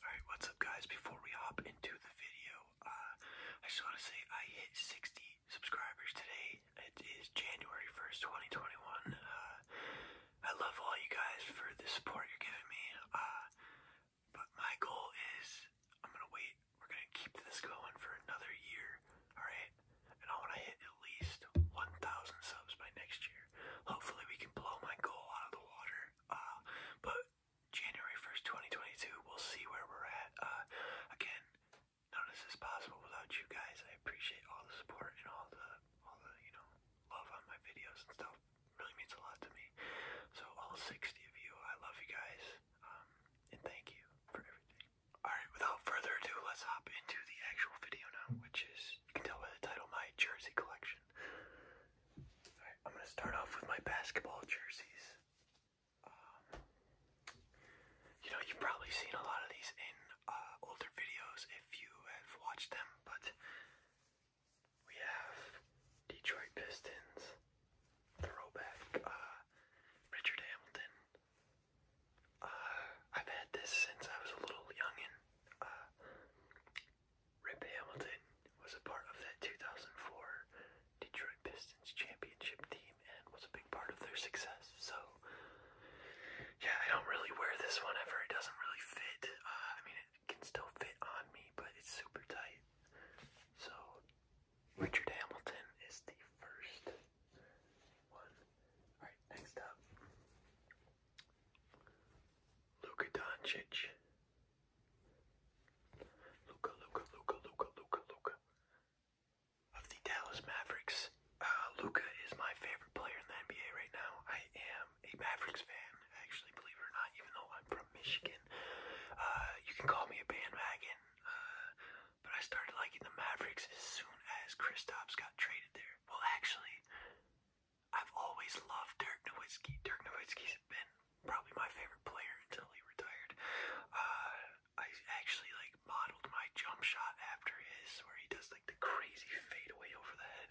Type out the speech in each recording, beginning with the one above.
Alright, what's up guys? Before we hop into the video, uh, I just want to say I hit 60 subscribers today. It is January 1st, 2021. Uh, I love all you guys for the support you're giving me. Uh, but my goal is I'm going to wait. We're going to keep this going for another year. Alright? And I want to hit at least 1,000 subs by next year. Hopefully we can blow my goal out of the water uh, but January 1st, 2022, we'll see where we're at. Uh, again, none of this is possible without you guys. I appreciate all the support and all the, all the, you know, love on my videos and stuff. really means a lot to me. So all 60 of you, I love you guys. Um, and thank you for everything. Alright, without further ado, let's hop into the actual video now, which is, you can tell by the title, my jersey collection. I'm gonna start off with my basketball jerseys. Um, you know, you've probably seen a lot of these in uh, older videos if you have watched them, but we have Detroit Pistons, throwback, uh, Richard Hamilton. Uh, I've had this since I was a little youngin'. Rip Hamilton was a part of that 2004 Detroit Pistons championship team and was a big part of their success. So, yeah, I don't really wear this one ever. It doesn't really fit. Uh, I mean, it can still fit on me, but it's super tight. So, Richard Hamilton is the first one. Alright, next up Luka Doncic. Luka, Luka, Luka, Luka, Luka, Luka. Of the Dallas Mavericks, uh, Luka is my favorite player in the NBA right now. I am a Mavericks fan, actually, believe it or not, even though I'm from Michigan. Uh, you can call me a bandwagon, uh, but I started liking the Mavericks as soon as Kristaps got traded there. Well, actually, I've always loved Dirk Nowitzki. Dirk Nowitzki's been probably my favorite player until he retired. Uh, I actually like modeled my jump shot after his, where he does like the crazy fadeaway over the head.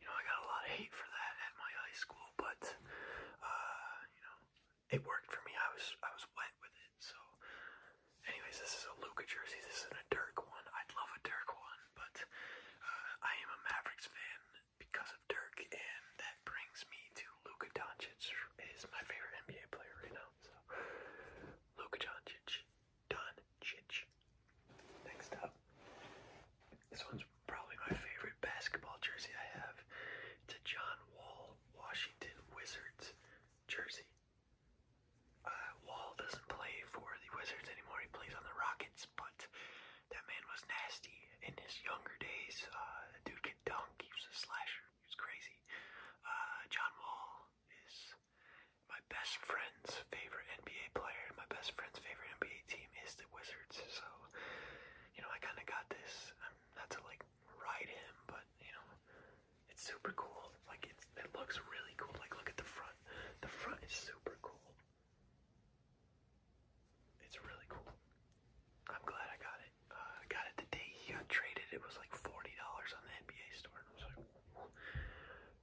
You know, I got a lot of hate for that at my high school, but uh, you know, it worked for me. I was I was wet with it. So, anyways, this is a Luca jersey. This isn't a Dirk one. I'd love a Dirk one but uh, I am a Mavericks fan because of Dirk, and that brings me to Luka Doncic is my favorite NBA player right now. So Luka Doncic, Doncic. Next up, this one's probably my favorite basketball jersey I have. It's a John Wall Washington Wizards jersey. Uh, Wall doesn't play for the Wizards anymore. He plays on the Rockets, but that man was nasty in his younger days. the uh, dude could dunk. He was a slasher. He was crazy. Uh, John Wall is my best friend's favorite NBA player. My best friend's favorite NBA team is the Wizards. So, you know, I kind of got this. I'm not to like ride him, but you know, it's super cool. Like it's it looks really cool. Like look at the front. The front is super cool. It's really cool. I'm glad I got it. Uh, I got it the day he got traded. It was like forty dollars on the NBA store, and I was like,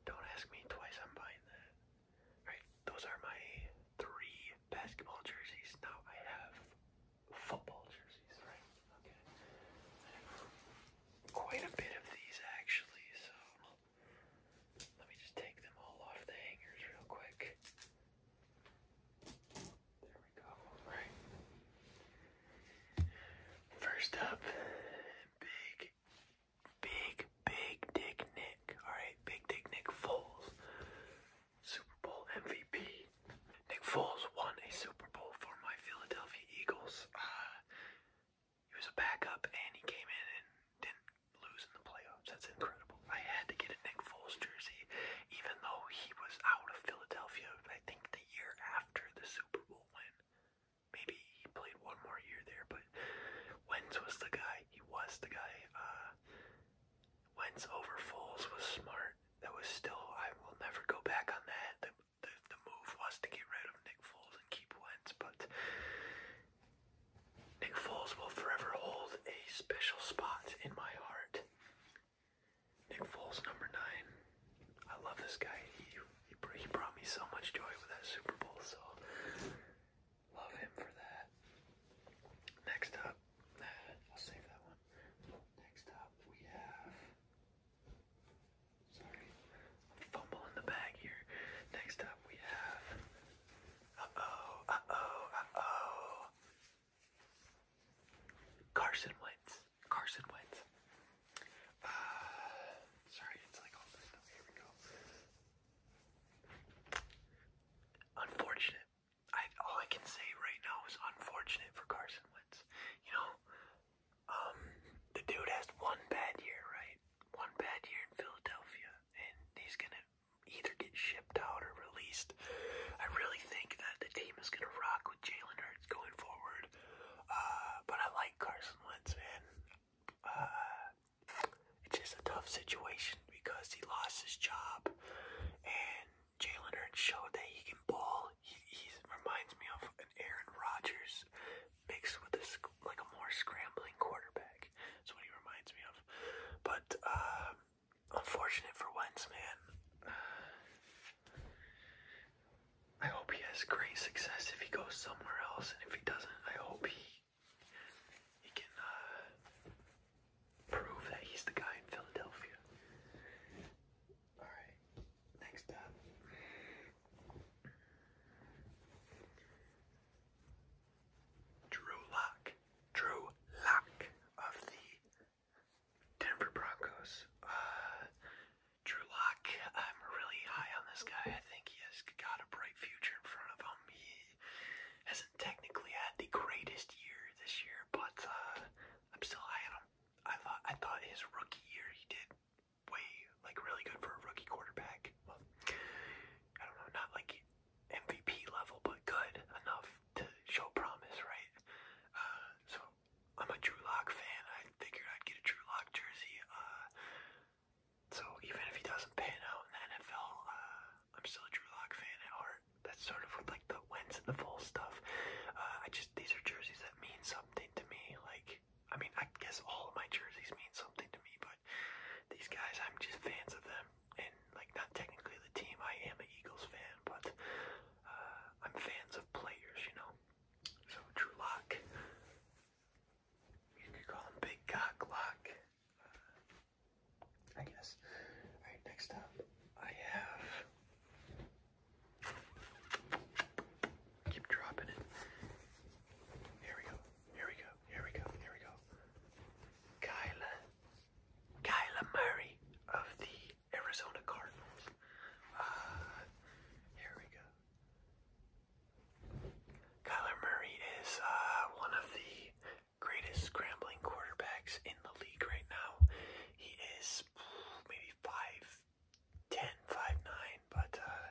"Don't ask me twice. I'm buying that." All right, those are my three basketball jerseys. Now I have football jerseys. Right quite a bit of these actually, so let me just take them all off the hangers real quick. There we go. All right. First up, big, big, big Dick Nick. All right, Big Dick Nick Foles, Super Bowl MVP. Nick Foles won a Super Bowl for my Philadelphia Eagles. Uh, he was a backup and he came in and didn't lose in the playoffs. That's incredible. I had to get a Nick Foles jersey, even though he was out of Philadelphia. I think the year after the Super Bowl win, maybe he played one more year there. But Wentz was the guy. He was the guy. Uh, Wentz over Foles was smart. That was still. I will never go back on that the, the move was to get rid of Nick Foles and keep Wentz, but Nick Foles will forever hold a special spot in my heart. Nick Foles, number nine. I love this guy. He, he, he brought me so much joy with that Super Bowl, so love him for that. Next up, I'll save that one. Next up, we have Sorry. Fumble in the bag here. Next up we have. Uh oh, uh oh, uh oh. Carson Wentz. Carson Wentz. Uh, sorry, it's like Here we go. Unfortunate. I all I can say right now is unfortunate for Carson Wentz. You know, um, the dude has one bad year, right? One bad year in Philadelphia, and he's gonna either get shipped out or released. I really think that the team is gonna rock with Jalen Hurts going forward. Uh, but I like Carson Wentz, man. Uh, it's just a tough situation because he lost his job, and Jalen Hurts showed that he can ball. He, he reminds me of an Aaron Rodgers mixed with this like a more scrambling quarterback. That's what he reminds me of. But uh, unfortunate for Wentz, man. I hope he has great success if he goes somewhere else, and if he doesn't, I hope he he can uh, prove that he's the guy in Philadelphia. Alright, next up. Drew Lock. Drew Lock of the Denver Broncos. Uh, Drew Lock, I'm really high on this guy. I think he has got a bright future in front of him. He hasn't technically had the greatest year this year, but uh, I'm still high on him. I thought I thought his rookie year he did way like really good for a rookie quarterback. Well, I don't know, not like MVP level, but good enough to show promise, right? Uh, so I'm a Drew Lock fan. I figured I'd get a Drew Lock jersey. Uh, so even if he doesn't pan out in the NFL, uh, I'm still a Drew Lock fan at heart. That's sort of like the wins and the full stuff. Uh, I just these are jerseys that mean something to me. Like I mean, I guess all of my jerseys mean something to me, but these guys, I'm just fans of them. And like not technically the team. I am an Eagles fan, but uh, I'm fans of players, you know. So Drew Lock. You could call him Big Cock Lock. Uh, I guess. Alright, next up I have keep dropping it. Here we go. Here we go. Here we go. Here we go. Kyla Kyla Murray of the Arizona Cardinals. Uh here we go. Kyler Murray is uh, one of the greatest scrambling quarterbacks in the league right now. He is maybe 5'10, 5'9, but uh,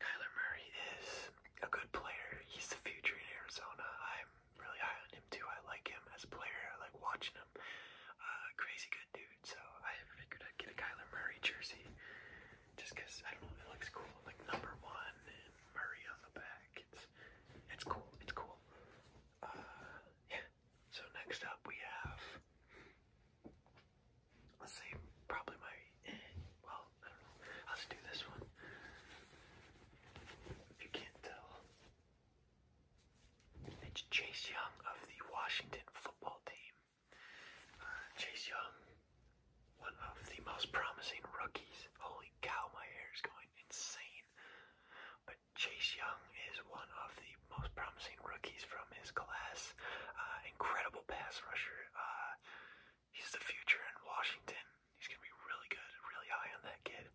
Kyler Murray is a good player. He's the future in Arizona. I'm really high on him too. I like him as a player. I like watching him. Uh, crazy good dude. So I figured I'd get a Kyler Murray jersey just because I don't know. It looks cool. Like number one Murray on the back. It's cool. It's cool. Uh, yeah. So next up we have, let's say probably my, well, I don't know. Let's do this one. If you can't tell, it's Chase Young of the Washington football team. Uh, Chase Young, one of the most promising rookies. Holy cow, my hair is going point insane. But Chase Young is one of the most promising rookies from his class. Uh, incredible pass rusher. Uh, he's the future in Washington. He's going to be really good, really high on that kid.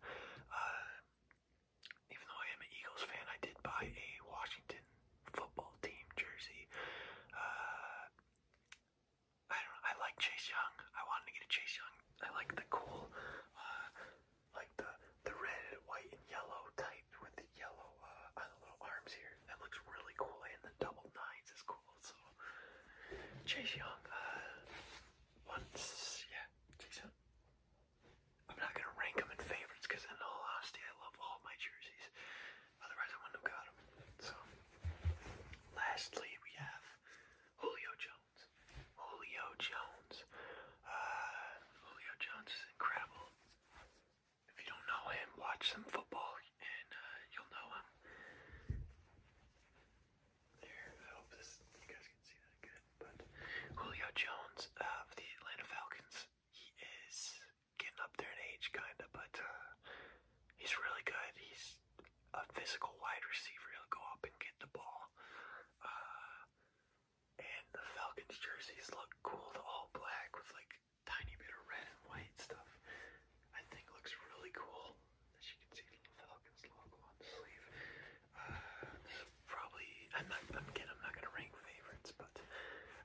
Uh, even though I am an Eagles fan, I did buy a Washington football team jersey. Uh, I don't. I like Chase Young. I wanted to get a Chase Young. I like the cool, uh, like the the red, white, and yellow type with the yellow uh, on the little arms here. That looks really cool. And the double nines is cool. So Chase Young. Uh, once, yeah, Chase Young. I'm not gonna rank them in favorites because, in all honesty, I love all my jerseys. Otherwise, I wouldn't have got them. So Lastly, we have Julio Jones. Julio Jones. Uh, Julio Jones is incredible. If you don't know him, watch some football and uh, you'll know him. There, I hope this, you guys can see that good. But Julio Jones of the Atlanta Falcons, he is getting up there in age, kind of, but uh, he's really good. He's a physical wide receiver. He'll go up and get the ball. Uh, and the Falcons jerseys look cool. The all black with like tiny bit of red and white stuff. I think looks really cool. As you can see, the Falcons logo on the sleeve. Uh, probably, I'm not, again, I'm not going to rank favorites, but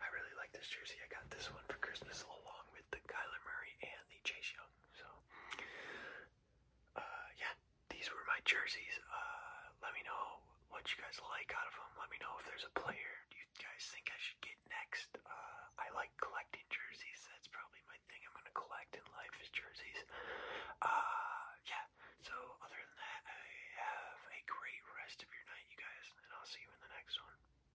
I really like this jersey. I got this one for Christmas along with the Kyler Murray and the Chase Young. So, uh, yeah, these were my jerseys. Uh, let me know what you guys like out of them. Let me know if there's a player you guys think I should get next. Uh, I like collecting jerseys. That's probably my thing I'm gonna collect in life is jerseys. yeah. So other than that, have a great rest of your night, you guys, and I'll see you in the next one.